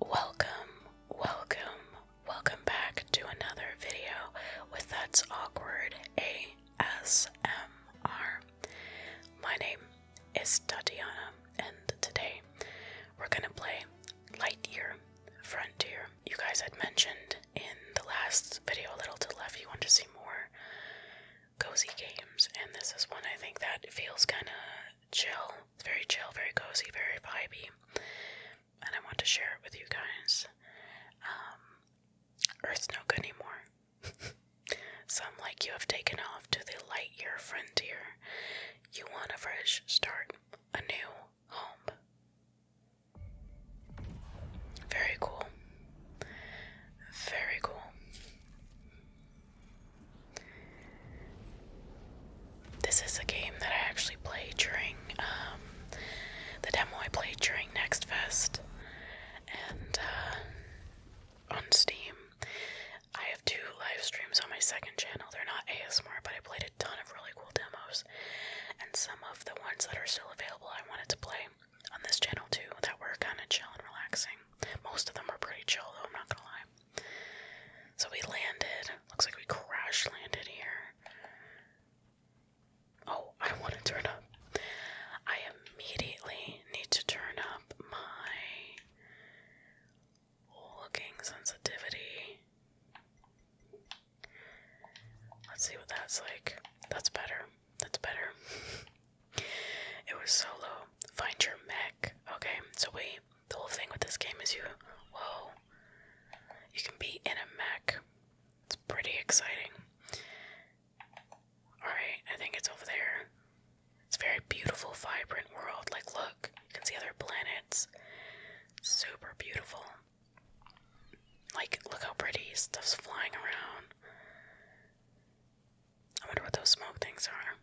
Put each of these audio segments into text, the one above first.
Welcome, welcome, welcome back to another video with That's Awkward ASMR. My name is Tatiana, and today we're gonna play Lightyear Frontier. You guys had mentioned in the last video, a little to the left, you want to see more cozy games, and this is one I think that feels kind of chill. very chill, very cozy, very vibey. And I want to share it with you guys. Um, Earth's no good anymore. Some like you have taken off to the light year frontier. You want a fresh start, a new home. Very cool. Very cool. This is a game that I actually played during um, the demo I played during Next Fest and uh, on Steam. I have two live streams on my second channel. They're not ASMR, but I played a ton of really cool demos, and some of the ones that are still available I wanted to play on this channel too that were kind of chill and relaxing. Most of them are pretty chill, though, I'm not gonna lie. So we landed. Looks like we crash landed here. Oh, I want to turn up. I immediately need to turn up my looking sensitivity. Let's see what that's like. That's better. That's better. it was so low. Find your mech. Okay, so we the whole thing with this game is you, whoa, you can be in a mech. It's pretty exciting. Alright, I think it's over there. It's a very beautiful, vibrant world. Like, look, you can see other planets. Super beautiful. Like, look how pretty stuff's flying around. I wonder what those smoke things are.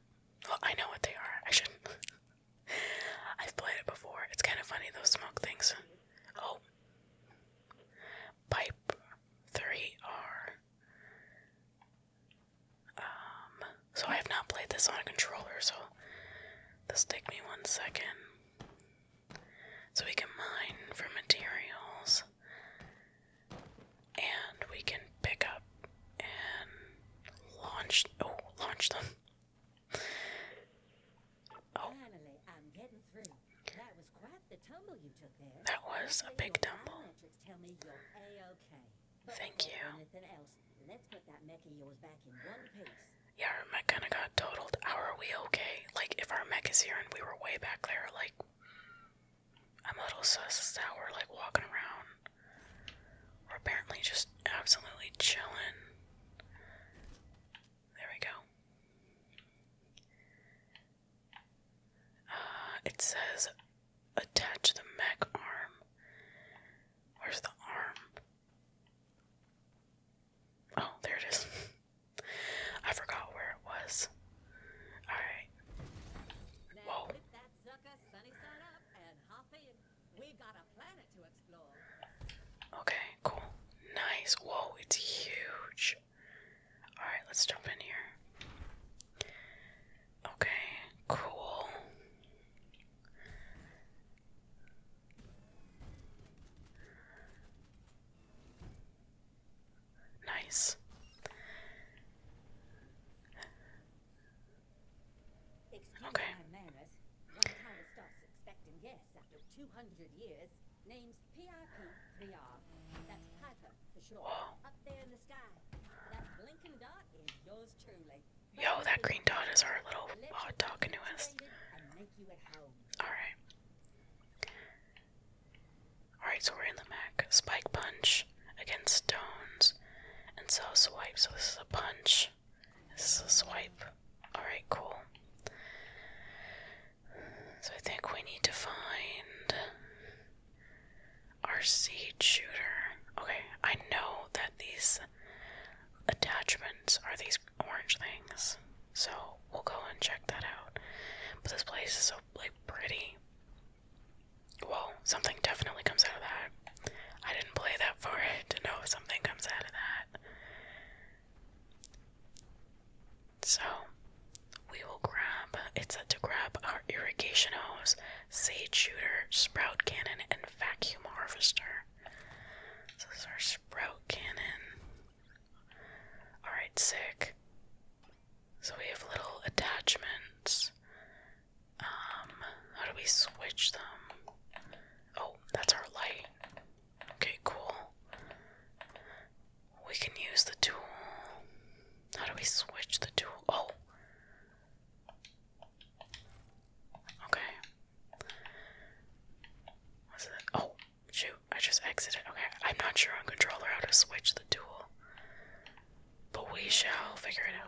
Well, I know what they are. I shouldn't. I've played it before. It's kind of funny, those smoke things. Oh. Pipe 3R. Um, so I have not played this on a controller, so this take me one second. So we can mine for materials and we can pick up and launch oh launch them that was a big tumble. Thank you. Yeah, our mech got totaled. How are okay? Like, if our mech here and we were way back there, like, I'm a little sus as we're, like, walking around. We're apparently just absolutely chilling. There we go. Uh, it says attach the mech arm. Where's the arm? Oh, there it is. I forgot where it was. Alright. We got a planet to explore. Okay, cool. Nice. Whoa, it's huge. Alright, let's jump in here. Okay, cool. Nice. One expecting after two hundred years. That's Piper for sure. Up there in the sky. Dot. okay. Whoa. Yo, that green dot is our little hot dog canoeist. Alright. Alright, so we're in the Mac. Spike punch against stones. And so swipe. So this is a punch. This is a swipe. Alright, cool. So I think we need to find our seed shooter. Okay, I know that these attachments are these orange things. So we'll go and check that out. But this place is so like pretty. Whoa, something definitely comes out of that. I didn't play that far to know if something comes out of that. So we will grab it's said to grab our irrigation hose, sage shooter, sprout cannon, and vacuum harvester. So this is our sprout cannon. Alright, sick. So we have little attachments um, how do we switch them? Oh, that's our light. Okay, cool. We can use the tool. How do we switch the tool? Oh. Okay. What's it? Oh, shoot. I just exited. Okay, I'm not sure on controller how to switch the tool. But we shall figure it out.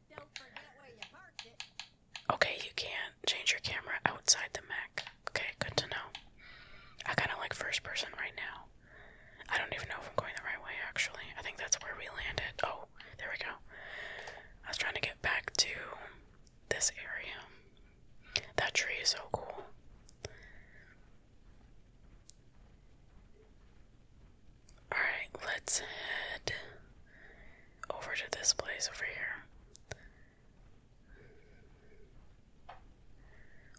Okay, you can't change your camera outside the Mac. Okay, good to know. I kind of like first person right now. I don't even know if I'm going the right way, actually. I think that's where we landed. Oh, there we go. I was trying to get back to this area. That tree is so cool. Alright, let's head over to this place over here.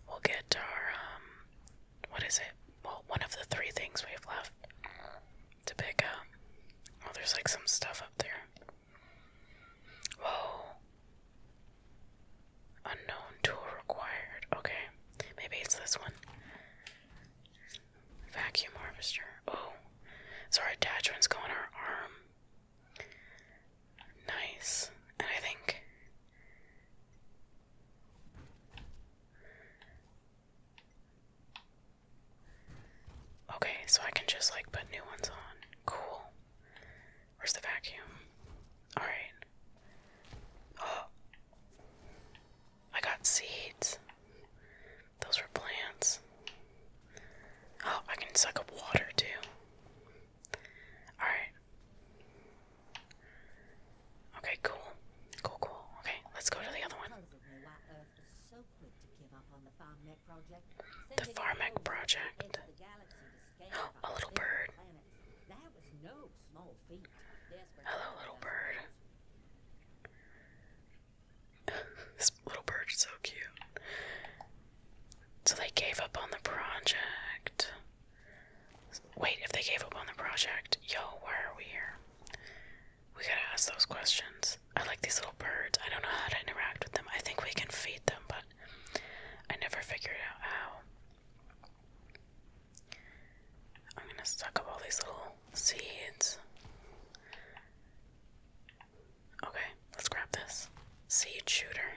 We'll get to our, um, what is it? Well, one of the three things we have left to pick up. Oh, there's like some stuff up there. Whoa. Unknown tool required. Okay. Maybe it's this one. Vacuum harvester. Oh, so our attachments go on our arm. Nice. And I think. Okay, so I can just like put new ones on. Cool. Where's the vacuum? Alright. Oh. I got seeds. Those were plants. Oh, I can suck up water too. Alright. Okay, cool. Cool, cool. Okay, let's go to the other one. The Farmec Project. A little bird. Hello, little bird. this little bird is so cute. So they gave up on the project. Wait, if they gave up on the project, yo, why are we here? We gotta ask those questions. I like these little birds. I don't know how to interact with them. I think we can feed them, but I never figured out how. I'm gonna suck up all these little seeds. Okay, let's grab this. Seed shooter.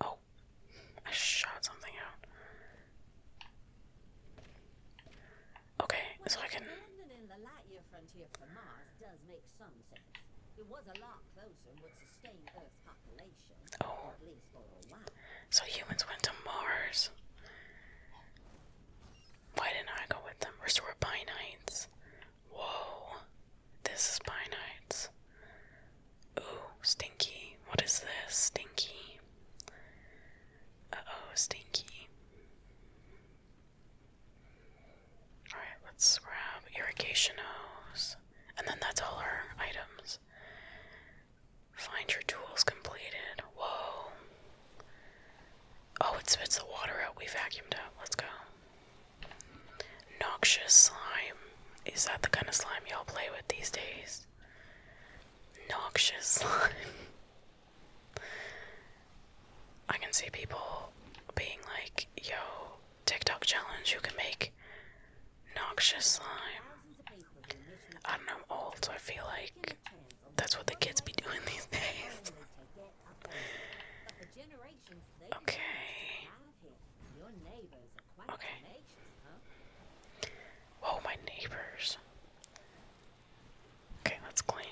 Oh, I shot something out. Okay, so I can. It was a lot closer and would sustain Earth's population. Oh. So humans went to Mars. Why didn't I go with them? Restore Pine Heights. Whoa. This is Pine Heights. Ooh, Stinky. What is this? Stinky. Uh oh, Stinky. Alright, let's grab irrigation hose. And then that's all our items. Find your tools completed. Whoa. Oh, it spits the water out. We vacuumed out. Let's go. Noxious slime. Is that the kind of slime y'all play with these days? Noxious slime. I can see people being like, yo, TikTok challenge, you can make Noxious slime. I don't know, I'm old, so I feel like that's what the kids be doing these days. okay. Okay. Whoa, oh, my neighbors. Okay, let's clean.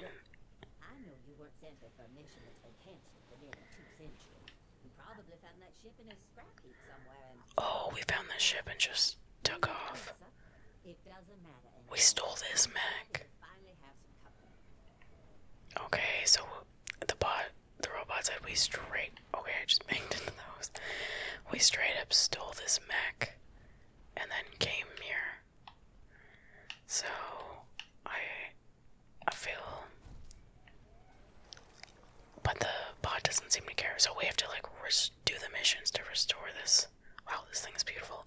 Oh, we found that ship and just took off. We stole this Mac. Okay, so the bot, the robot said we straight. Okay, I just banged into those. We straight up stole this Mac, and then came here. So I, I feel. But the bot doesn't seem to care, so we have to like res do the missions to restore this. Wow, this thing is beautiful.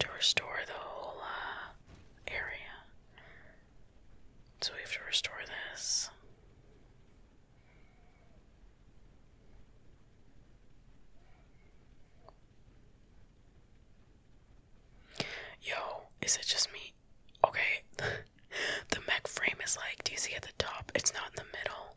To restore the whole uh, area. So we have to restore this. Yo, is it just me? Okay, the mech frame is like, do you see at the top? It's not in the middle.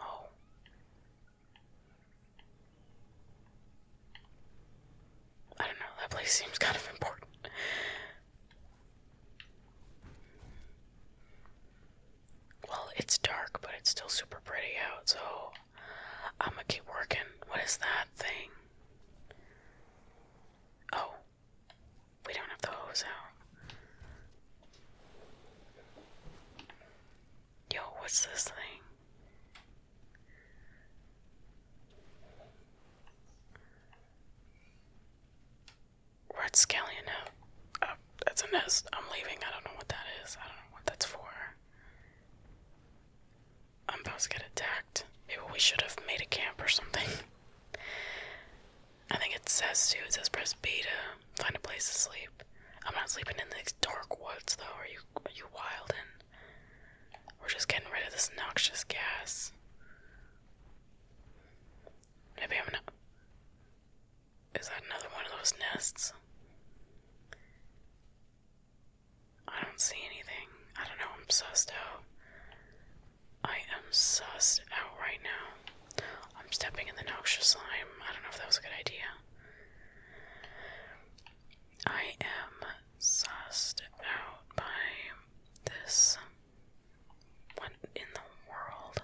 Oh. I don't know, that place seems kind of important. Well, it's dark, but it's still super pretty out, so I'm gonna keep working. What is that thing? Oh, we don't have the hose out. Yo, what's this thing? Red scallion out. Oh, that's a nest. I'm leaving. I don't know what that is. I don't know what that's for. I'm about to get attacked. Maybe we should have made a camp or something. I think it says too, it says press beta find a place to sleep. I'm not sleeping in these dark woods, though. Are you are you wildin'? We're just getting rid of this noxious gas. Maybe I'm not. Is that another one of those nests? I don't see anything. I don't know. I'm sussed out. I am sussed out right now. I'm stepping in the noxious slime. I don't know if that was a good idea. I am sussed out by this. What in the world?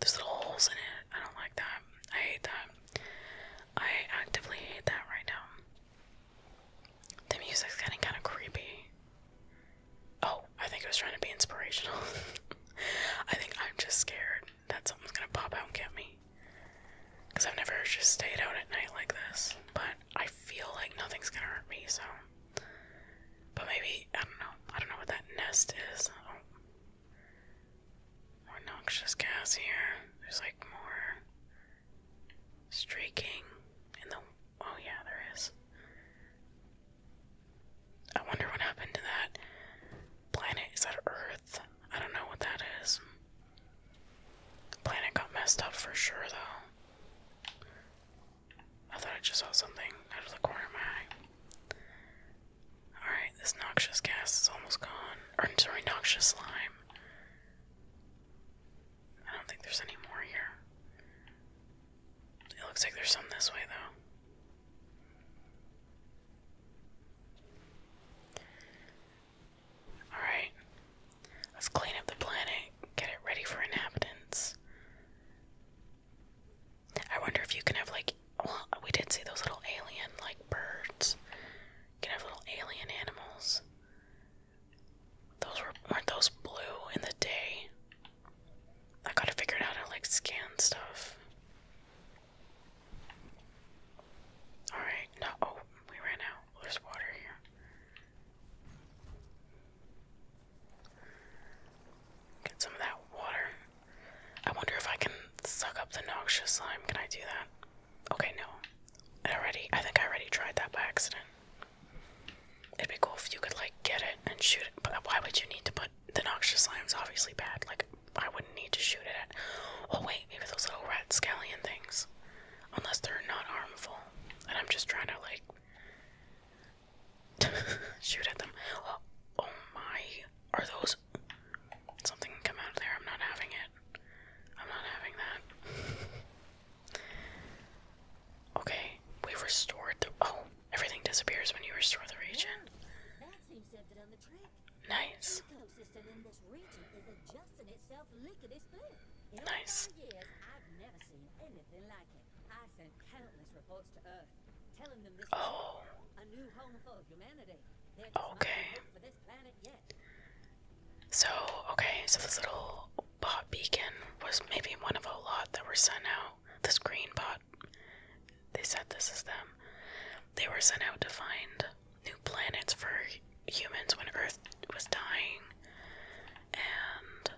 There's little holes in it. I don't like that. I hate that. I actively hate that right now. The music's getting kind of creepy. Oh, I think it was trying to be inspirational. I think I'm just scared that something's gonna pop out and get me. Because I've never just stayed out at night like this, but I feel like nothing's gonna hurt me, so. But maybe, I don't know. I don't know what that nest is. Oh. noxious gas here. There's like more streaking in the. Oh, yeah, there is. I wonder what happened to that planet. Is that Earth? I don't know what that is. Planet got messed up for sure, though. I thought I just saw something out of the corner of my eye. Alright, this noxious gas is almost gone. Or, sorry, noxious slime. I don't think there's any more here. It looks like there's some this way, though. Alright, let's clean up the planet, get it ready for inhabitants. I wonder if you can have, like, well, we did see those little alien, like, birds. can have little alien animals. Those were, weren't those blue in the day? I gotta figure out how to, like, scan stuff. Alright, no, oh, we ran out. There's water here. Get some of that water. I wonder if I can suck up the noxious slime. Can I do that? Okay, no. already, I think I already tried that by accident. It'd be cool if you could, like, get it and shoot it, but why would you need to put the noxious slime's obviously bad. Like, I wouldn't need to shoot at it. Oh, wait, maybe those little rat scallion things. Unless they're not harmful. And I'm just trying to, like, shoot at them. Oh, oh, my. Are those. Something come out of there. I'm not having it. I'm not having that. Okay, we've restored the. Oh, everything disappears when you restore the region. Nice. Nice. Oh. Okay. So, okay, so this little bot beacon was maybe one of a lot that were sent out. This green bot they said this is them. They were sent out to find new planets for humans when Earth was dying. And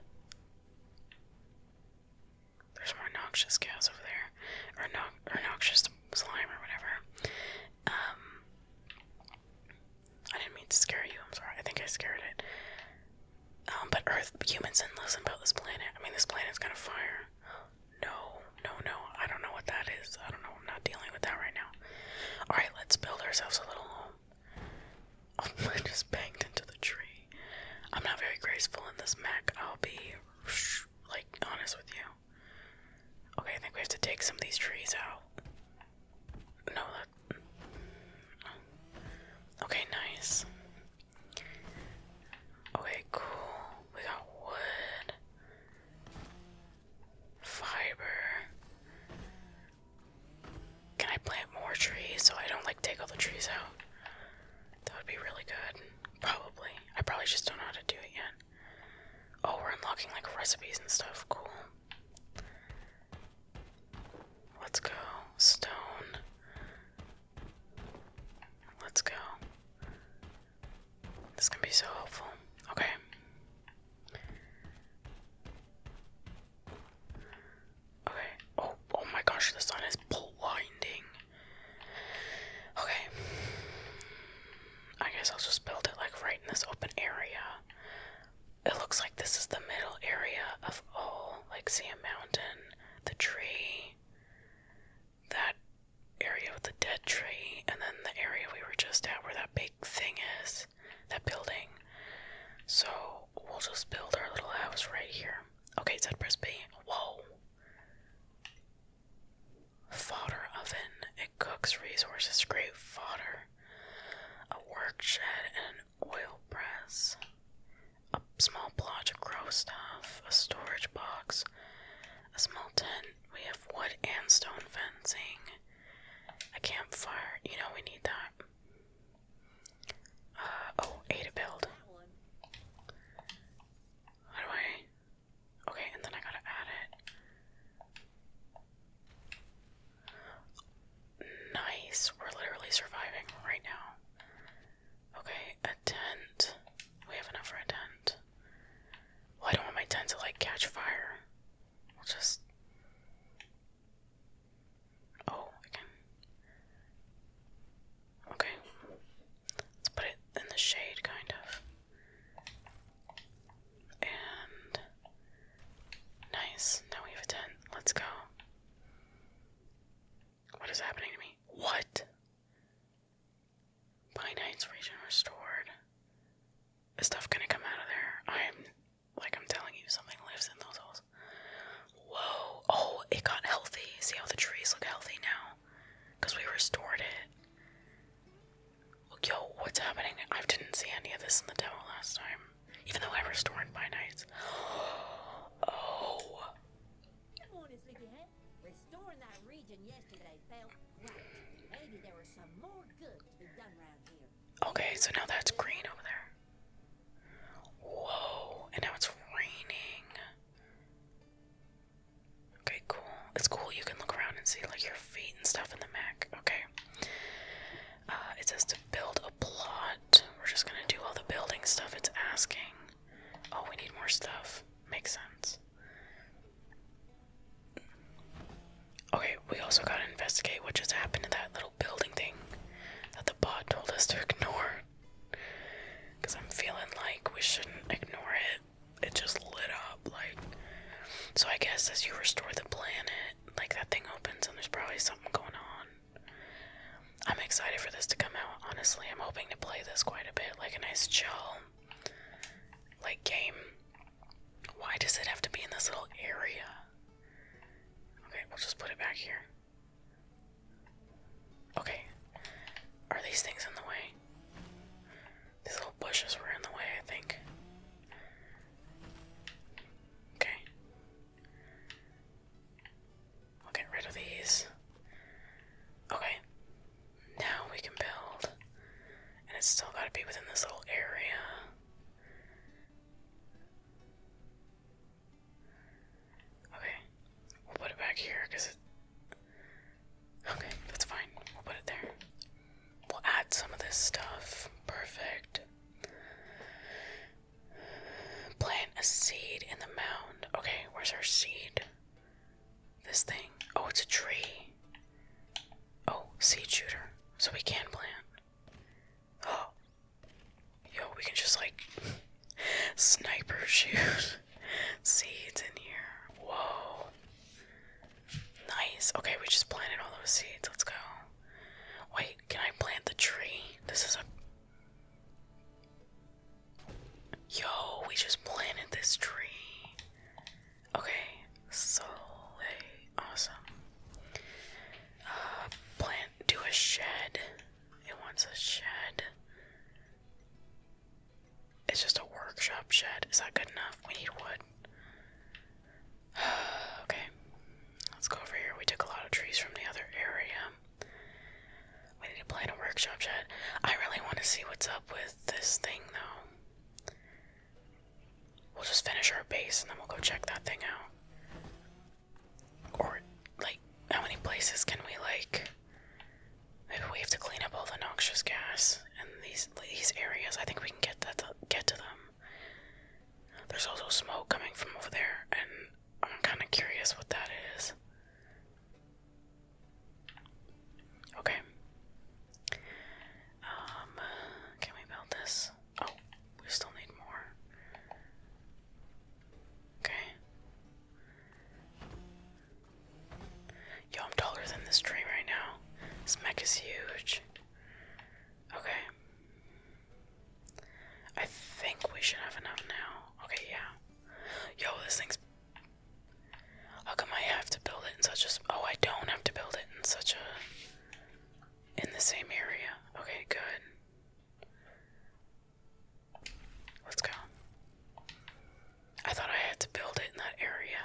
there's more noxious gas over there, or, no, or noxious slime or whatever. Um, I didn't mean to scare you. I'm sorry. I think I scared it. Um, but Earth, humans, and listen about this planet. I mean, this planet planet's gonna fire. No, no, no. I don't know what that is. I don't know. I'm not dealing with that right now. Alright, let's build ourselves a little home. Oh, I just banged into the tree. I'm not very graceful in this Mac. I'll be, like, honest with you. Okay, I think we have to take some of these trees out. No, Okay, nice. Okay, cool. We got wood, fiber. Can I plant more trees so I don't like take all the trees out? That would be really good. Probably. I probably just don't know how to do it yet. Oh, we're unlocking like recipes and stuff. Cool. Let's go. Stone. Let's go. This can be so helpful. Okay. Okay. Oh, oh my gosh, the sun is blinding. Okay. I guess I'll just build it like right in this open area. It looks like this is the middle area of all. Oh, like, see a mountain, the tree, that area with the dead tree and then the area we were just at where that big thing is, that building. So we'll just build our little house right here. Okay, said Brisby. Whoa. Fodder oven. It cooks resources. Great fodder. A work shed and an oil press. A small plot to grow stuff. A storage box a small tent. We have wood and stone fencing, a campfire. You know, we need that. Uh, oh, A to build. How do I? Okay, and then I gotta add it. Nice. We're literally surviving right now. Okay, a tent. We have enough for a tent. Well, I don't want my tent to like catch fire. We'll just. Oh, again. Okay. Let's put it in the shade, kind of. And. Nice. Now we have a tent. Let's go. What is happening to me? What? Finite's region restored. Is stuff gonna come out of there? I'm like I'm telling you, something lives in those holes. Whoa! Oh, it got healthy. See how the trees look healthy now? Cause we restored it. Look, yo, what's happening? I didn't see any of this in the demo last time. Even though I restored my nights. Oh. Okay, so now that's green over there. Whoa, and now it's raining. Okay, cool. It's cool you can look around and see like your feet and stuff in the Mac. Okay. Uh, it says to build a plot. We're just gonna do all the building stuff it's asking. Oh, we need more stuff. Makes sense. Okay, we also gotta investigate what just happened to that little building thing that the bot told us to ignore. Because I'm feeling like we shouldn't ignore it. It just lit up, like. So I guess as you restore the planet, like that thing opens and there's probably something going on. I'm excited for this to come out, honestly. I'm hoping to play this quite a bit, like a nice chill like game. Why does it have to be in this little area? Okay, we'll just put it back here. Okay. Are these things in the way? These little bushes were in the way, I think. Okay. We'll get rid of these. Okay. Now we can build. And it's still got to be within this little area. Okay. We'll put it back here because it. Okay, that's fine. We'll put it there. We'll add some of this stuff. Perfect. Plant a seed in the mound. Okay, where's our seed? This thing. Oh, it's a tree. Oh, seed shooter. So we can plant. Oh. Yo, we can just like sniper shoot seeds in here. Whoa. Nice. Okay, we just planted all those seeds. Let's go. Wait, can I plant the tree? This is a Yo, we just planted this tree. Okay, so awesome. Uh, plant, do a shed. It wants a shed. It's just a workshop shed. Is that good enough? We need wood. okay, let's go over here. We took a lot of trees from the other area. We need to plan a workshop chat. I really want to see what's up with this thing though. We'll just finish our base and then we'll go check that thing out. Or like how many places can we like maybe we have to clean up all the noxious gas in these these areas. I think we can get that to, get to them. There's also smoke coming from over there and I'm kinda curious what that is. Okay. Um, can we build this? Oh, we still need more. Okay. Yo, I'm taller than this tree right now. This mech is huge. Okay. I think we should have enough now. Okay, yeah. Yo, this thing's how come I have to build it in such a? Oh, I don't have to build it in such a. In the same area. Okay, good. Let's go. I thought I had to build it in that area.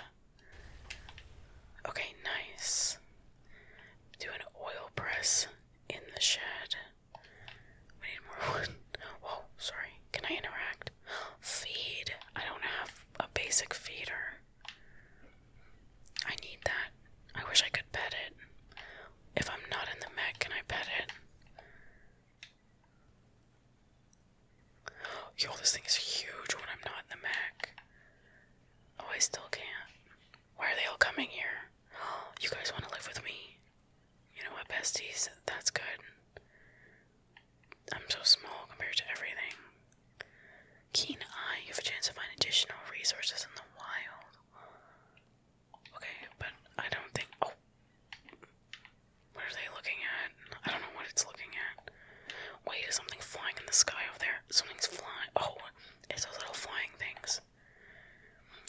Okay, nice. Do an oil press in the shed. We need more wood. Whoa, sorry. Can I interact? Feed. I don't have a basic feeder. I need that. I wish I could pet it. If I'm not in the Mac, can I pet it? Yo, this thing is huge when I'm not in the Mac, Oh, I still can't. Why are they all coming here? You guys want to live with me? You know what, besties? That's good. I'm so small compared to everything. Keen eye, you have a chance to find additional resources in the wild. Okay, but I don't think. Oh! What are they looking at? I don't know what it's looking at. Wait, is something flying in the sky over there? Something's flying. Oh, it's those little flying things.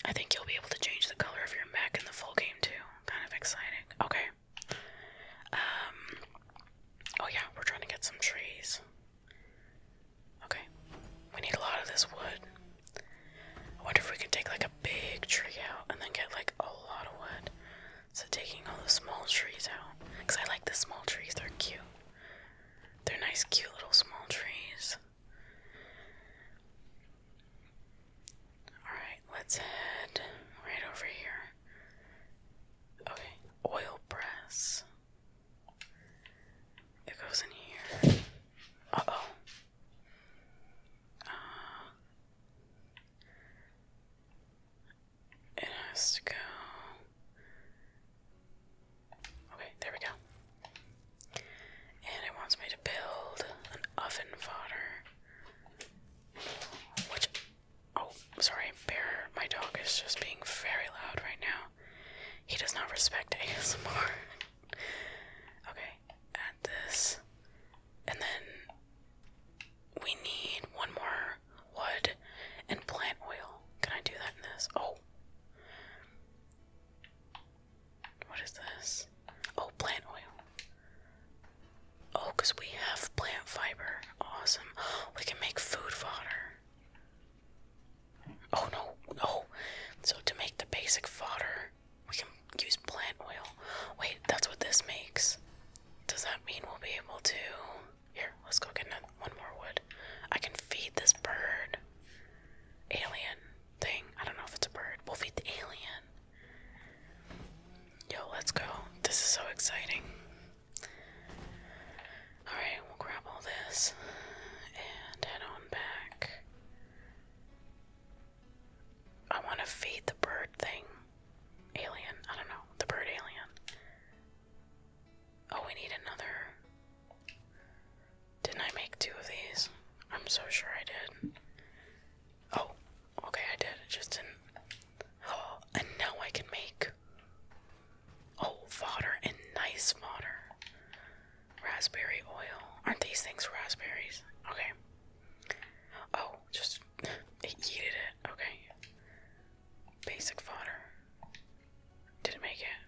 I think you'll be able to change the color of your mech in the full game too. Kind of exciting. Okay. Um oh yeah, we're trying to get some trees. Okay. We need a lot of this wood. I wonder if we can take like a big tree out and then get like a lot of wood. So taking all the small trees out. Because I like the small trees, they're cute. They're nice, cute little small trees. Alright, let's head right over here. Okay, oil press. It goes in here. Uh oh. Uh, it has to go. Okay, there we go. And it wants me to build an oven fodder. Which, oh, sorry, Bear, my dog is just being very loud right now. He does not respect ASMR. okay, add this. And then we need one more wood and plant oil. Can I do that in this? Oh. What is this? Oh, plant oil. Oh, because we have plant fiber. Awesome. We can make food fodder. Oh no, no. Oh. So to make the basic fodder, we can use plant oil. Wait, that's what this makes. Does that mean we'll be able to. Here, let's go get another, one more wood. I can feed this bird. Alien thing. I don't know if it's a bird. We'll feed the alien. Yo, let's go. This is so exciting. Alright, we'll grab all this and head on back. I want to feed the bird thing. Alien. I don't know. The bird alien. Oh, we need another. Didn't I make two of these? I'm so sure I did. Oh, okay, I did. It just in. Oh, and now I can make. Oh, fodder and nice fodder. Raspberry oil. Aren't these things raspberries? Okay. Oh, just. It yeeted it. Okay. Basic fodder. Did not make it?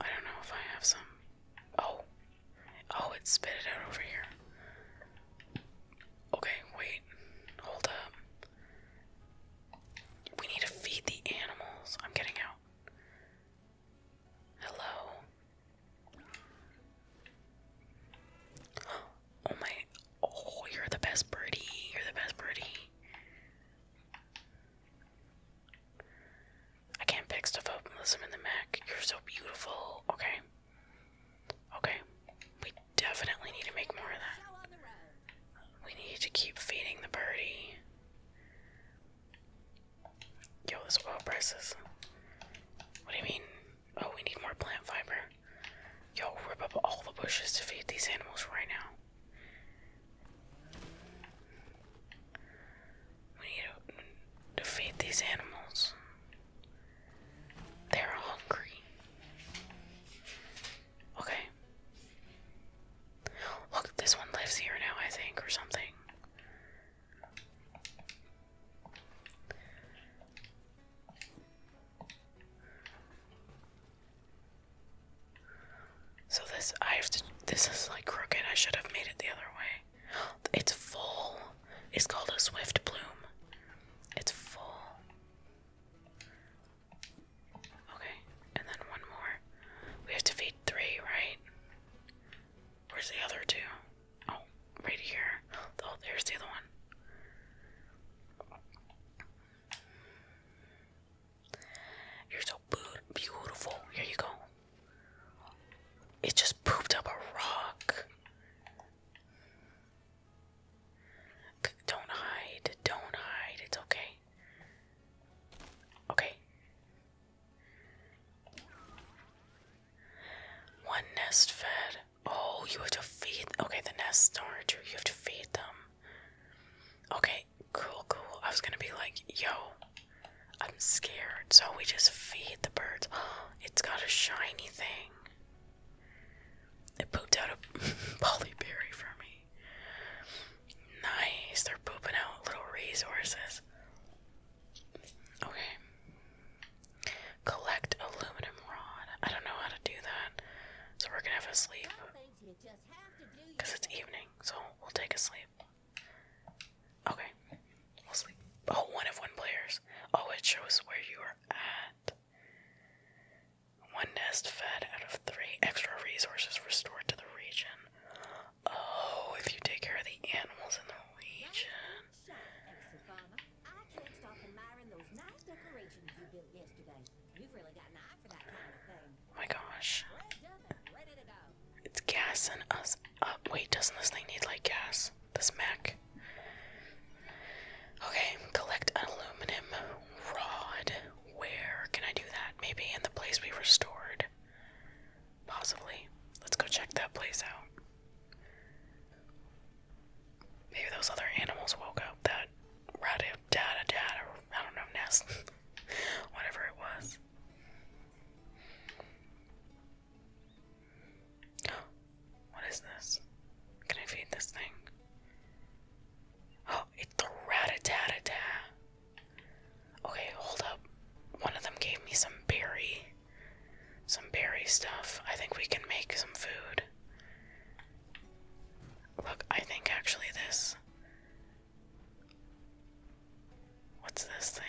I don't know if I have some. Oh, Oh, it spit it out over here. Okay, wait. Hold up. We need to feed the animals. I'm getting out. Hello. Oh my. Oh, you're the best birdie. You're the best birdie. I can't pick stuff up unless i in the Mac. You're so beautiful. Okay. Okay. We definitely need to make more of that. We need to keep feeding the birdie. Yo, this oil prices. What do you mean? Oh, we need more plant fiber. Yo, rip up all the bushes to feed these animals right now. We need to, feed these animals. They're hungry. Okay. Look, this one lives here now, I think, or something. So this I have to this is like crooked. I should have made it the other way. It's full. It's called a swift bloom. It's full. Okay, and then one more. We have to feed three, right? Where's the other two? Oh, right here. Oh, there's the other one. You're so beautiful. Here you go. It just pooped up a rock. Don't hide. Don't hide. It's okay. Okay. One nest fed. Oh, you have to feed. Okay, the nests are too. You have to feed them. Okay, cool, cool. I was gonna be like, yo, I'm scared, so we just feed the birds. It's got a shiny thing. It pooped out a polyberry for me. Nice, they're pooping out little resources. Okay. Collect aluminum rod. I don't know how to do that, so we're gonna have a sleep. Because it's evening, so we'll take a sleep. Okay, we'll sleep. Oh, one of one players. Oh, it shows where you are at. One nest fed out of three. Extra resources restored to the region. Oh, if you take care of the animals in the region. Oh my gosh. It's gassing us up. Wait, doesn't this thing need like gas? This Mac. Okay, collect aluminum rod. Where can I do that? Maybe in the place we restored. Possibly. Let's go check that place out. Maybe those other animals woke up. That rada data data. I don't know, nest. Whatever it was. What is this? Can I feed this thing? Oh, it's the rat Okay, hold up. One of them gave me some berry. Some berry stuff. I think we can make some food. Look, I think actually this. What's this thing?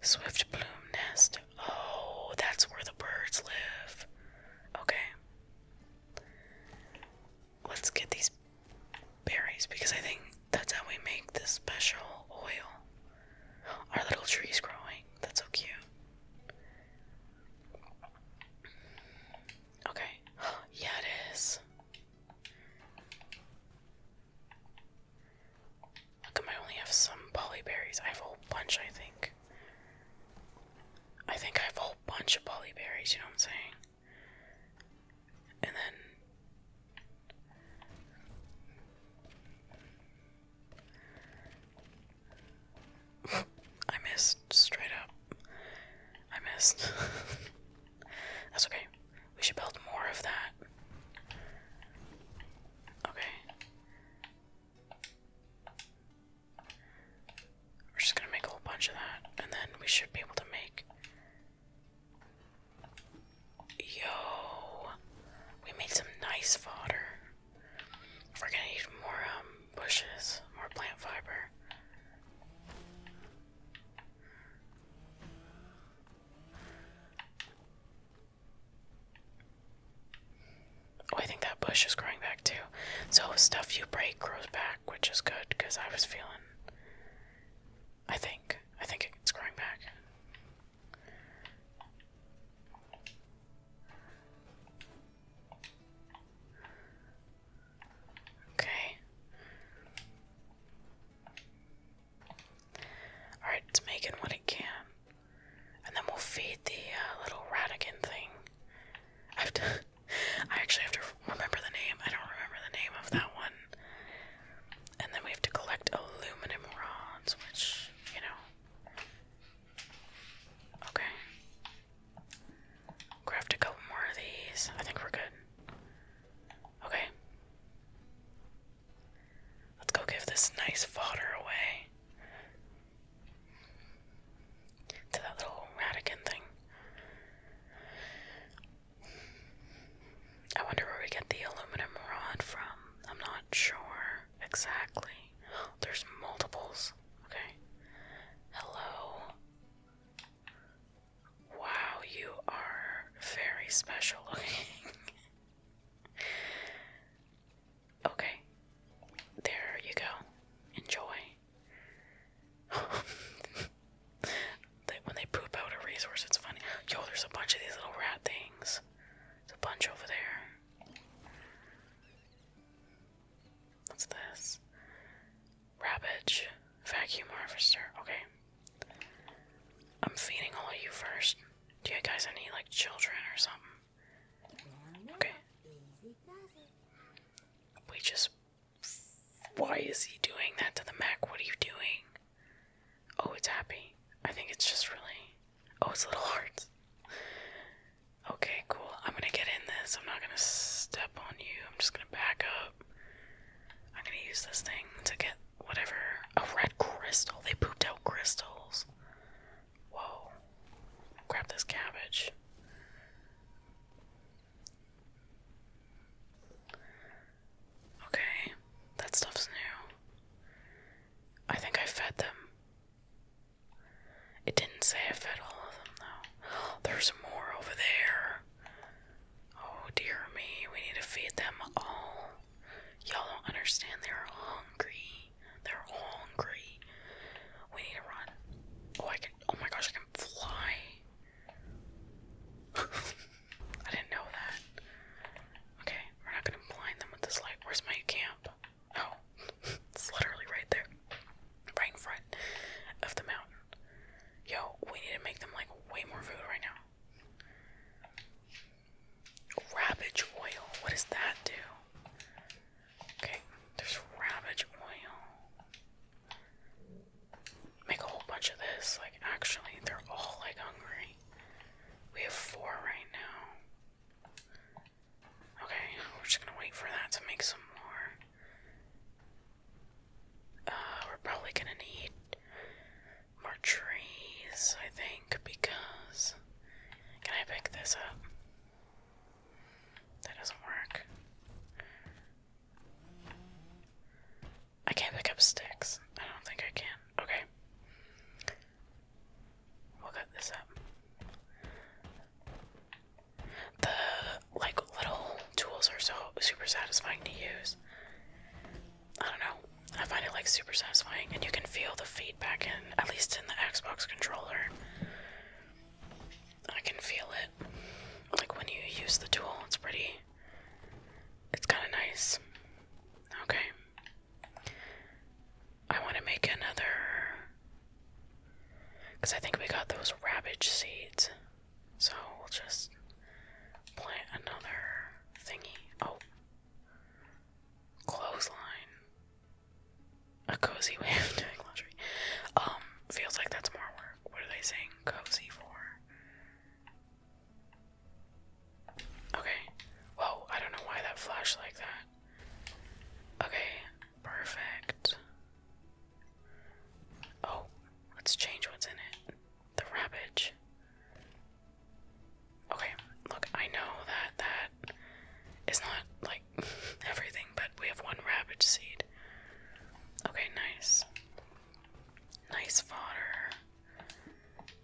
Swift plume nest. Oh, that's where the birds live. Okay. Let's get these berries because I think that's how we make this special oil. Our little tree's growing. That's so cute. Okay. yeah, it is. How I only have some polyberries? I have a whole bunch, I think. I think I have a whole bunch of polyberries, you know what I'm saying? And then. I missed straight up. I missed. That's okay. We should build more of that. Okay. We're just gonna make a whole bunch of that, and then we should be able to make. Yo, we made some nice fodder. We're gonna need more um bushes, more plant fiber. Oh, I think that bush is growing back too. So stuff you break grows back, which is good because I was feeling. I think. I think it's growing back. Okay. Alright, it's making what it can. And then we'll feed the uh, little Radigan thing. I have to. I actually have to remember the name. I don't remember the name of that one. And then we have to collect aluminum rods, which, you know. Okay. we a couple more of these. I think we're good. Okay. Let's go give this nice fodder away to that little radican thing. I wonder where we get the aluminum rod from. I'm not sure exactly. There's multiples. Okay. Hello. Wow, you are very special looking. okay, there you go. Enjoy. when they poop out a resource, it's funny. Yo, there's a bunch of these little rat things. There's a bunch over there. What's this? Ravage. Vacuum harvester. Okay. I'm feeding all of you first. Do you guys have any like children or something? Okay. We just. Why is he doing that to the Mac? What are you doing? Oh, it's happy. I think it's just really. Oh, it's a little hearts. Okay, cool. I'm gonna get in this. I'm not gonna step on you. I'm just gonna back up. I'm gonna use this thing to get whatever. A red crystal. They pooped out crystals. Whoa. Grab this cabbage. Okay, that stuff's new. I think I fed them. It didn't say I fed all of them, though. There's more over there. Oh dear me, we need to feed them all. Y'all don't understand. They're hungry. They're hungry. We need to run. Oh, I can. Oh my gosh, I can fly. I didn't know that. Okay, we're not gonna blind them with this light. Where's my camp? Oh, it's literally right there, right in front of the mountain. Yo, we need to make them like way more food right now. Ravage oil. What does that do? Okay, there's ravage oil. Make a whole bunch of this. Like, actually, they're all like hungry. We have four right now. Okay, we're just gonna wait for that to make some more. Uh, we're probably gonna need more trees, I think, because. Can I pick this up? That doesn't work. I can't pick up sticks. I don't think I can. Okay. We'll cut this up. The like little tools are so super satisfying to use. I don't know. I find it like super satisfying, and you can feel the feedback in, at least in the Xbox controller. I can feel it. Like when you use the tool, it's pretty. It's kind of nice. Okay. I want to make another. Because I think we got those Ravage seeds. So we'll just plant another thingy. Oh. Clothesline. A cozy way of doing laundry. Um, feels like that's more work. What are they saying cozy for? Okay. Whoa, I don't know why that flashed like that. Okay, perfect. Oh, let's change what's in it the ravage. Okay, look, I know that that is not like everything, but we have one ravage seed. Okay, nice. Nice fodder.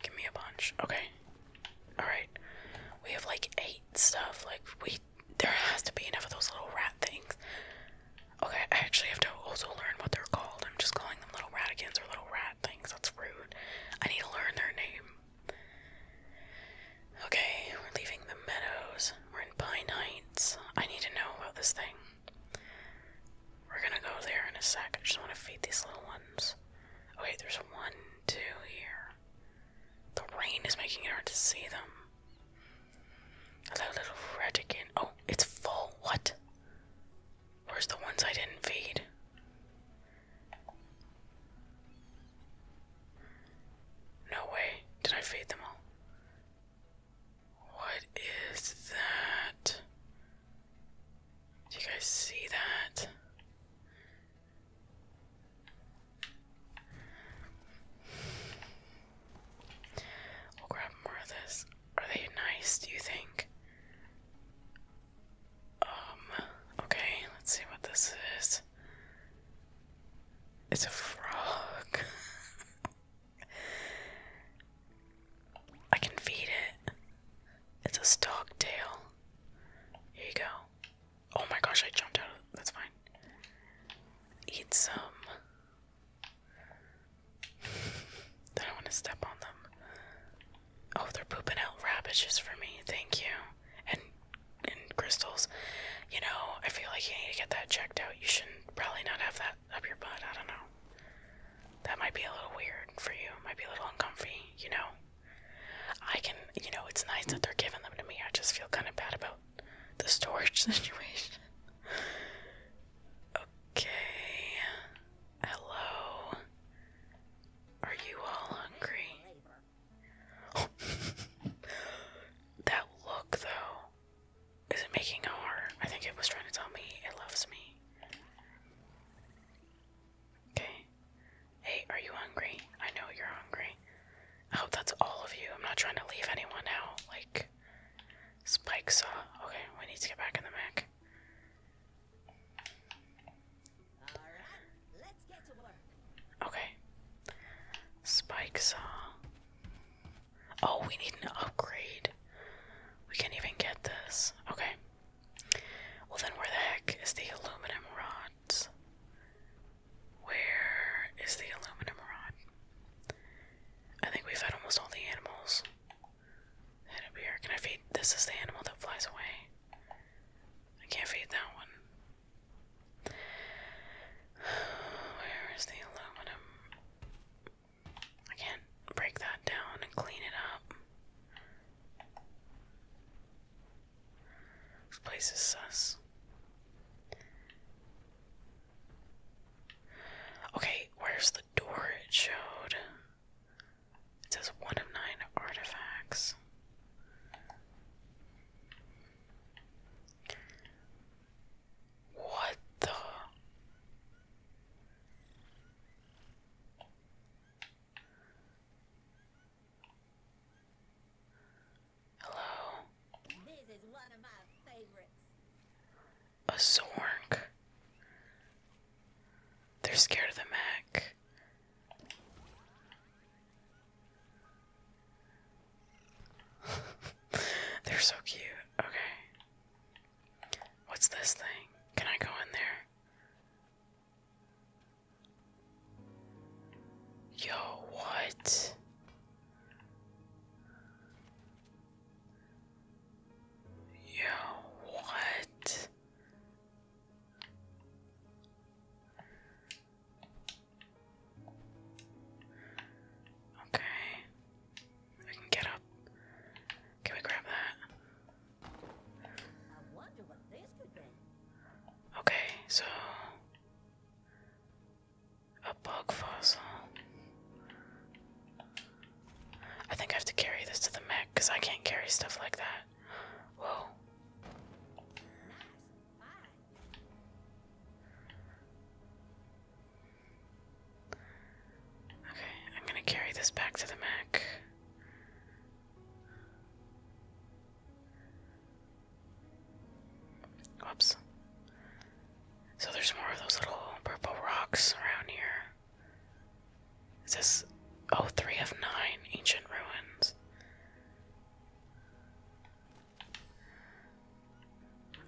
Give me a bunch. Okay. Alright. We have like eight stuff. Like we there has to be enough of those little rat things. Okay, I actually have to also learn what they're called. I'm just calling them little raticans or little rat things. That's rude. I need to learn their name. Okay, we're leaving the meadows. We're in Pine Heights. I need to know about this thing. We're gonna go there in a sec. I just want to feed these little ones. Okay, there's one, two here. The rain is making it hard to see them. Hello, little retican. Oh, it's full. What? Where's the ones I didn't feed? No way. Did I feed them all? What is that? Do you guys see that? We'll grab more of this. Are they nice, do you think? Um, okay, let's see what this is. It's a frog. I can feed it. It's a stock tail. Here you go. Oh my gosh, I jumped out of that's fine. Eat some I don't want to step on them. Oh, they're pooping out radishes for me. Thank you. And and crystals. You know, I feel like you need to get that checked out. You shouldn't probably not have that up your butt. I don't know. That might be a little weird for you. Might be a little uncomfortable. You know. I can. You know, it's nice that they're giving them to me. I just feel kind of bad about the storage situation. Okay. Hello. Are you all hungry? that look, though. Is it making a heart? I think it was trying to tell me it loves me. Okay. Hey, are you hungry? I know you're hungry. I hope that's all of you. I'm not trying to leave anyone out. Like, Mac. Spike saw. Okay, we need to get back in the Mac. Alright, let Okay. Spike saw. Oh, we need an upgrade. We can't even get this. Okay. Well, then where the heck is the aluminum rods? Where is the aluminum rod? I think we've had almost all the animals. And a bear. Can I feed? This is the animal that flies away. I can't feed that one. Where is the aluminum? I can't break that down and clean it up. This place is sus. Okay, where's the door it showed? It says one of nine artifacts. What the? Hello a zork. They're scared of the Mac. They're so cute. Okay. What's this thing? Can I go in there? Yo, what? Yeah, what? Okay. I can get up. Can we grab that? Okay, so a bug fossil. I think I have to carry this to the Mac because I can't carry stuff like that. Whoa. Okay, I'm gonna carry this back to the mech. Whoops. So there's more of those little purple rocks around here. Is this oh three of nine ancient ruins?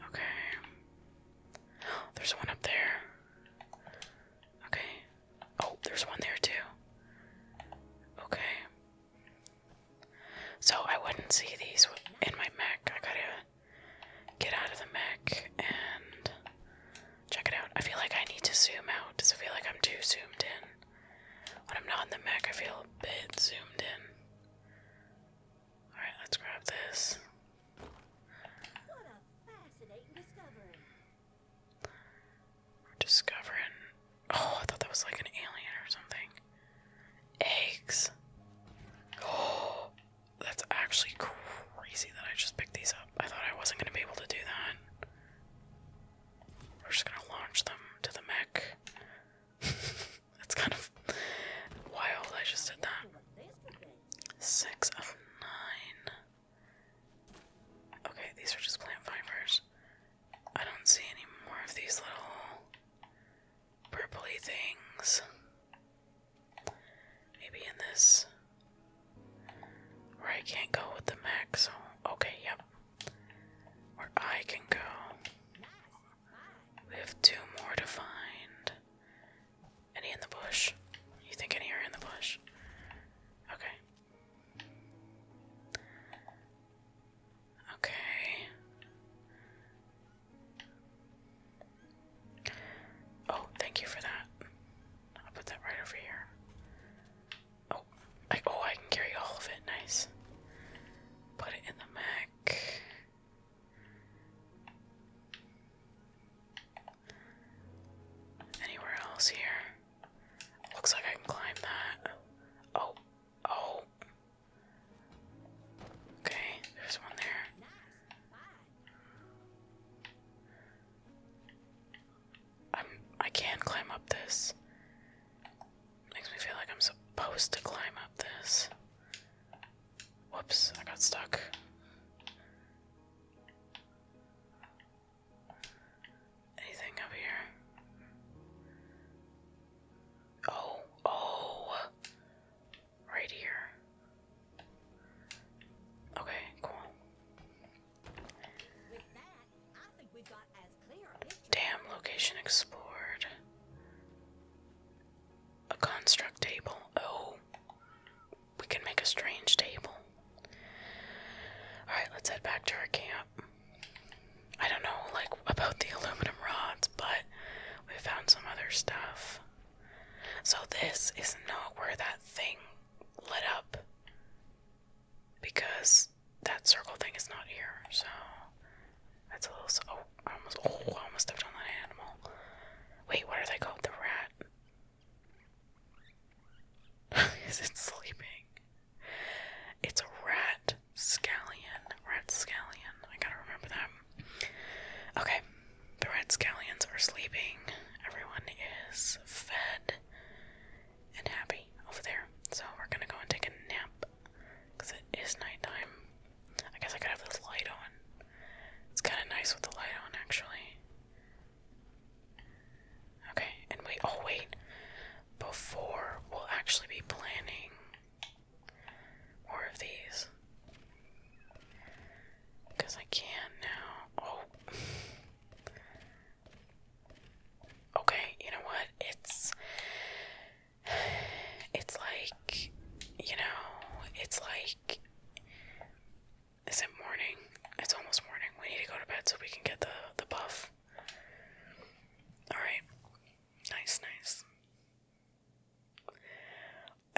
Okay. There's one up there. Okay. Oh, there's one there too. Okay. So I wouldn't see these in my mech. I gotta get out of the Mac and check it out. I feel like I need to zoom out Does it feel like I'm too zoomed in. When I'm not in the Mac, I feel a bit zoomed in. Alright, let's grab this. We're discovering. Oh, I thought that was like an alien or something. Eggs. Oh, that's actually crazy that I just picked these up. I thought I wasn't going to be able to do that. We're just going to launch them to the mech. That's kind of wild. I just did that. Six of nine. Okay, these are just plant fibers. I don't see any more of these little purpley things. Maybe in this. Where I can't go with the Mac. So, okay, yep. Where I can go. We have two more to find. Any in the bush? You think any are in the bush? Okay. Okay. Oh, thank you for that. I'll put that right over here. Oh, oh, I can carry all of it. Nice. Put it in the Mac. Anywhere else here? Looks like I can climb that. Oh, oh. Okay, there's one there i I can climb up this. Makes me feel like I'm supposed to climb up this. Whoops, I got stuck. Anything up here? Oh, oh. Right here. Okay, cool. Damn, location explored. A construct table. Oh. We can make a strange table. Alright, let's head back to our camp. I don't know like about the aluminum rods, but we found some other stuff. So, this is not where that thing lit up because that circle thing is not here. So, that's a little. Oh, I almost, oh, I almost stepped on that animal. Wait, what are they called? The rat? is it sleeping? It's a rat scallion. Rat scallion. I gotta remember that. Okay. The red scallions are sleeping. Everyone is fed and happy over there. So we're gonna go and take a nap because it is nighttime. I guess I could have this light on. It's kind of nice with the light on, actually. Okay, and wait, oh wait. Before we'll actually be planning more of these. Because I can not now. Oh. Okay, you know what? It's. It's like. You know, it's like. Is morning? It's almost morning. We need to go to bed so we can get the, the buff. Alright. Nice, nice.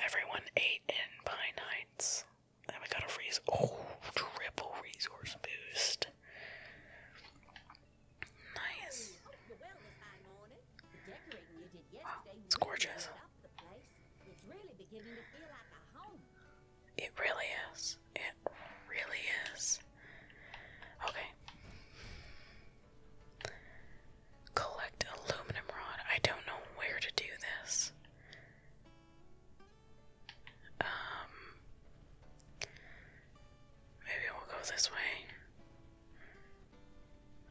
Everyone ate in pine nights. And we got a freeze. Oh, triple resource boost. Nice. Wow, it's gorgeous. It really is. It really is. Okay. Collect aluminum rod. I don't know where to do this. Um maybe we'll go this way.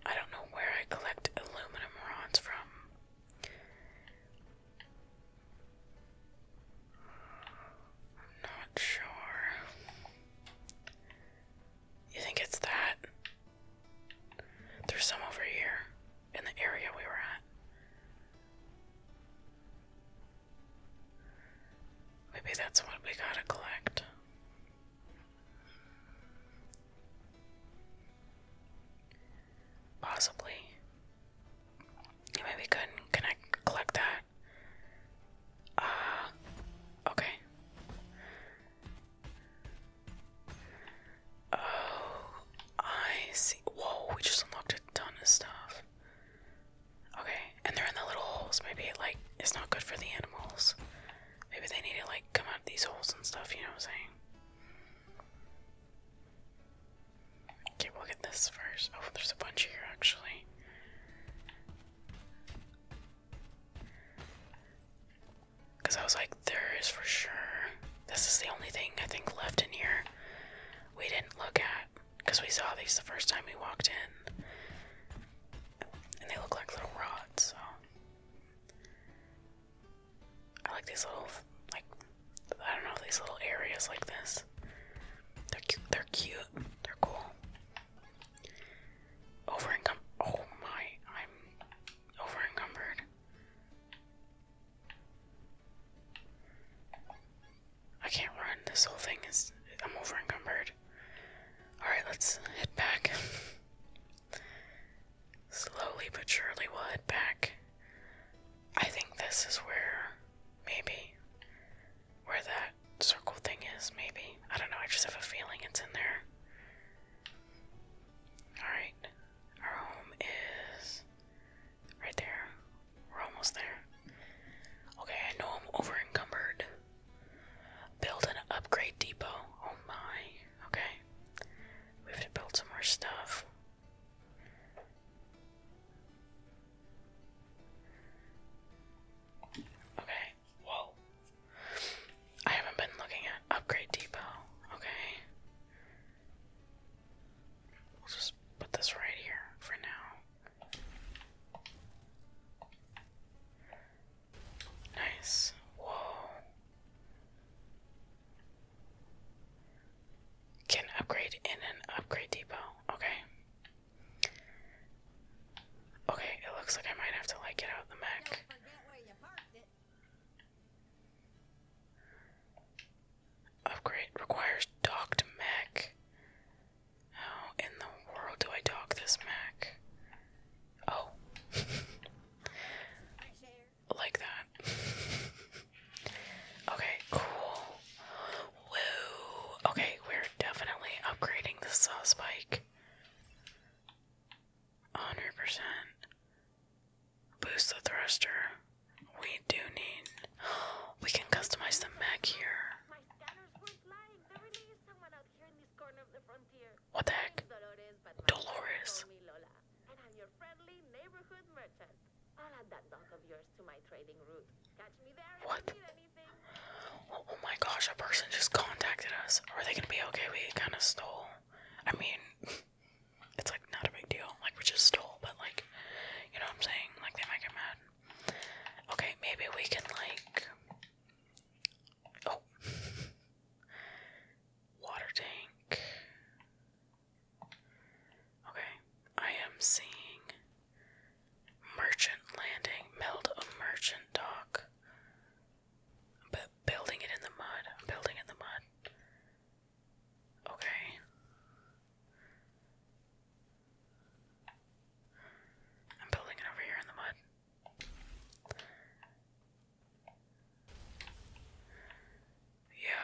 I don't know where I collect aluminum rods from. I'm not sure. You think it's that? There's some over here in the area we were at. Maybe that's what we gotta collect. Possibly. Maybe we couldn't collect that. Uh okay. Oh, I see. Whoa, we just unlocked a ton of stuff. Okay, and they're in the little holes. Maybe like it's not good for the animals. Maybe they need to like come out of these holes and stuff, you know what I'm saying? Okay, we'll get this first. Oh, there's a bunch here actually. Because I was like, there is for sure. This is the only thing I think left in here we didn't look at. Because we saw these the first time we walked in. And they look like little rods, so. I like these little, like, I don't know, these little areas like this. They're cute. They're cute. They're cool. Over encum. Oh my, I'm over encumbered. I can't run. This whole thing is. I'm over Alright, let's head back. Slowly but surely we'll head back. I think this is where. Maybe. Where that circle thing is, maybe. I don't know, I just have a feeling it's in there. Alright. Our home is right there. We're almost there. Okay, I know I'm overencumbered. Build an upgrade depot. Oh my. Okay. We have to build some more stuff. Okay, whoa. I haven't been looking at upgrade depot. Okay. We'll just put this right here for now. Nice. Whoa. Can upgrade in an upgrade depot. Okay. Okay, it looks like I might have to like get out the mech. Upgrade requires docked mech. How in the world do I dock this mech? Oh. like that. okay, cool. Woo. Okay, we're definitely upgrading the saw spike. 100% boost the thruster. We do need. We can customize the mech here. What the heck? Dolores. But my Dolores. Lola, and I'm your friendly neighborhood merchant. I'll add that dog of yours to my trading route. Catch me there. What? If you need anything. Oh, oh my gosh! A person just contacted us. Are they gonna be okay? We kind of stole. I mean. it's like not a big deal. Like we just stole, but like you know what I'm saying? Like they might get mad. Okay, maybe we can like oh water tank. Okay, I am seeing merchant landing. Meld a merchant dock. But building it in the mud. building it in the mud. Okay. I'm building it over here in the mud. Yo.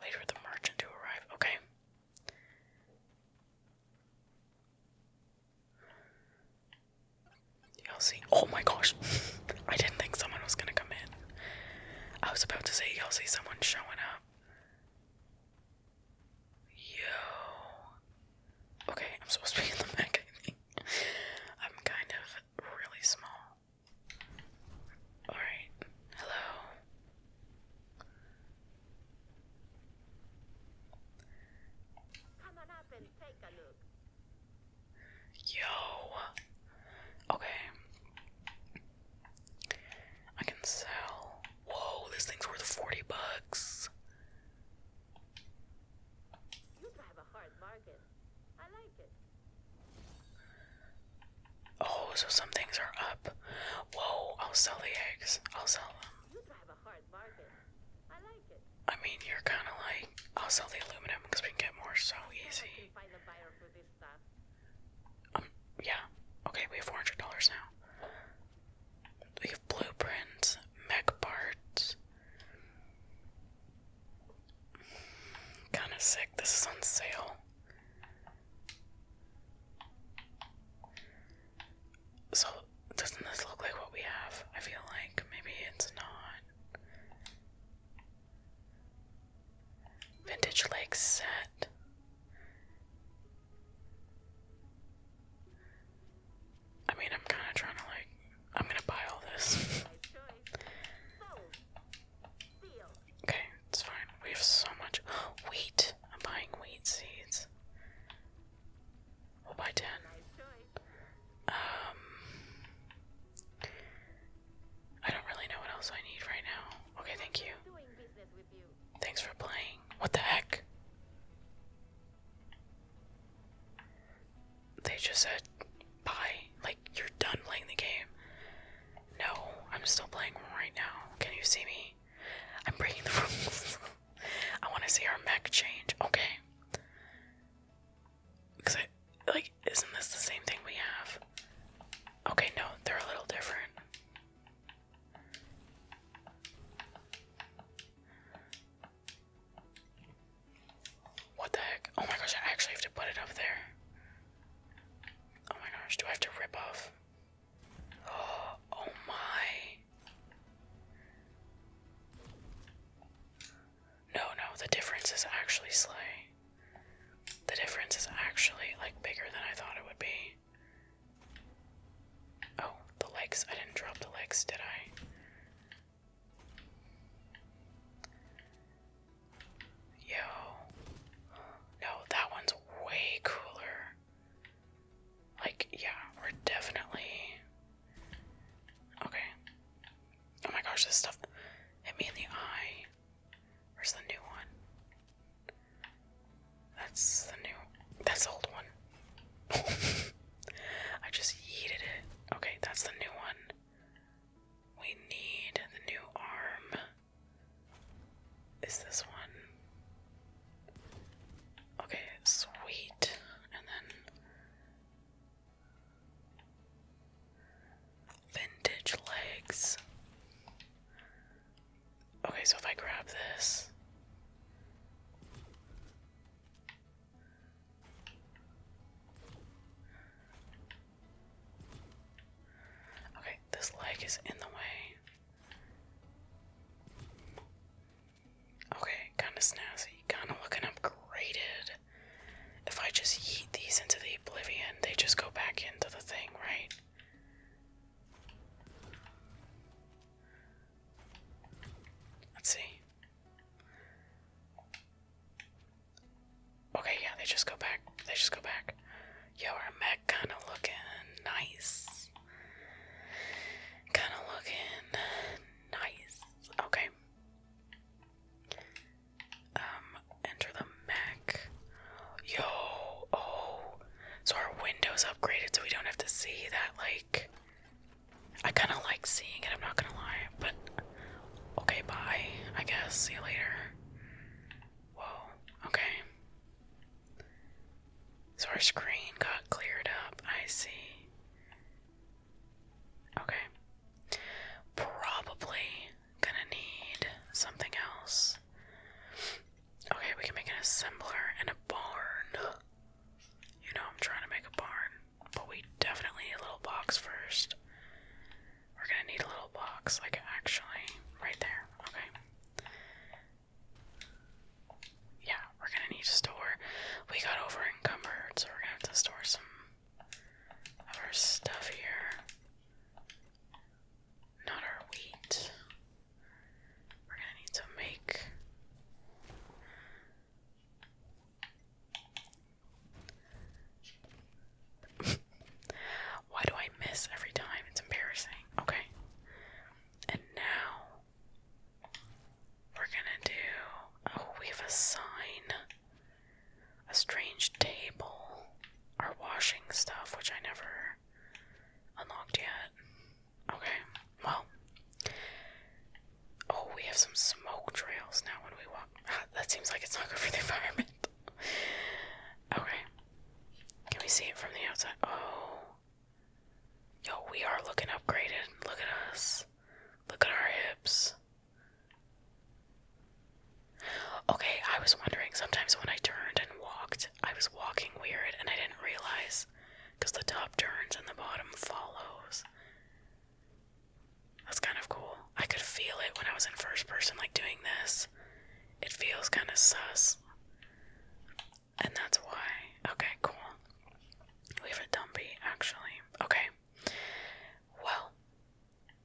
Wait for the merchant to arrive. Okay. Y'all see? Oh my gosh. I didn't think someone was gonna come in. I was about to say, y'all see someone showing up. Yo. Okay, I'm supposed to be in the back, I think. I'm kind of really small. Alright. Hello. Yo. Okay. I can sell. Whoa, this thing's worth 40 bucks. Oh, so some things are up. Whoa, I'll sell the eggs. I'll sell them. I mean, you're kind of like I'll sell the aluminum because we can get more so easy. Um, yeah. Okay, we have four hundred dollars now. We have blueprints, mech parts. Kind of sick. This is on sale. So doesn't this look like what we have? I feel like maybe it's not. Vintage Lake set. I mean, I'm kind of trying to like. I'm gonna buy all this. okay, it's fine. We have so much wheat. I'm buying wheat seeds. We'll buy ten. Um, I don't really know what else I need right now. Okay, thank you. Thanks for playing. What the heck? They just said bye. Like, you're done playing the game. No, I'm still playing right now. Can you see me? I'm breaking the rules. I want to see our mech change. Okay. Because like, isn't this the same thing we have? Okay, no, they're a little different. What the heck? Oh my gosh, I actually have to put it up there. Oh my gosh, do I have to rip off? oh my. No, no, the difference is actually Slay. The difference is actually, like, bigger than I thought it would be. Oh, the legs. I didn't drop the legs, did I? Yo. No, that one's way cooler. Like, yeah, we're definitely. Okay. Oh my gosh, this stuff hit me in the eye. Where's the new one? That's the new. That's the old one. I just yeeted it. Okay, that's the new one. We need the new arm. Is this one? Okay, sweet. And then Vintage legs. Okay, so if I grab this. Okay, this leg is in the way. Okay, kind of snazzy, kind of looking upgraded. If I just eat these into the oblivion, they just go back into the thing, right? Let's see. Okay, yeah, they just go back. They just go back. Yo, our mech kind of looking nice. Kind of looking nice. Okay. Um, enter the Mac. Yo, oh. So our window's upgraded so we don't have to see that, like. I kind of like seeing it, I'm not gonna lie. But, okay, bye. I guess. See you later. Whoa, okay. So our screen got cleared up. I see. Okay. Probably gonna need something else. Okay, we can make an assembler and a barn. You know, I'm trying to make a barn, but we definitely need a little box first. We're gonna need a little box, like actually, right there. Okay. Yeah, we're gonna need to store. We got over encumbered, so we're gonna have to store some our stuff here. Not our wheat. We're gonna need to make Why do I miss every time? It's embarrassing. Okay. And now we're gonna do. Oh, we have a sign a strange table, our washing stuff, which I never unlocked yet. Okay, well. Oh, we have some smoke trails now when we walk. that seems like it's not good for the environment. okay. Can we see it from the outside? Oh. Yo, we are looking upgraded. Look at us. Look at our hips. Okay, I was wondering sometimes when I turned and walked, I was walking weird and I didn't realize because the top turns and the bottom follows. That's kind of cool. I could feel it when I was in first person, like doing this. It feels kind of sus. And that's why. Okay, cool. We have a dumpy, actually. Okay. Well,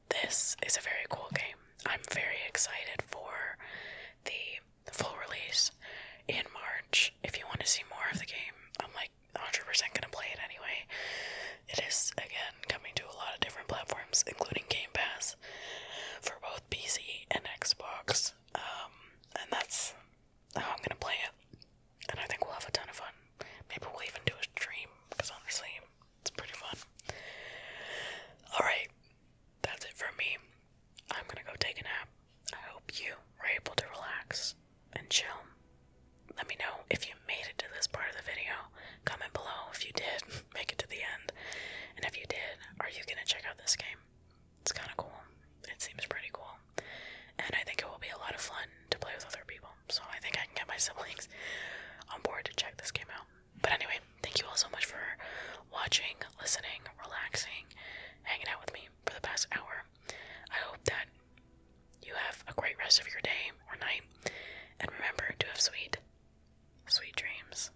this is a very cool game. I'm very excited for the full release in March. If you want to see more of the game, I'm like 100% gonna play it anyway. It is again coming to a lot of different platforms, including Game Pass for both PC and Xbox. Um, and that's how I'm gonna play it. And I think we'll have a ton of fun. Maybe we'll even do a stream because honestly, it's pretty fun. Alright, that's it for me. I'm gonna go take a nap. I hope you were able to relax and chill. Let me know if you made it to this part of the video. Comment below if you did make it to the end. And if you did, are you gonna check out this game? It's kinda cool. It seems pretty cool. And I think it will be a lot of fun to play with other people so I think I can get my siblings on board to check this game out. But anyway, thank you all so much for watching, listening, relaxing, hanging out with me for the past hour. I hope that you have a great rest of your day or night, and remember to have sweet, sweet dreams.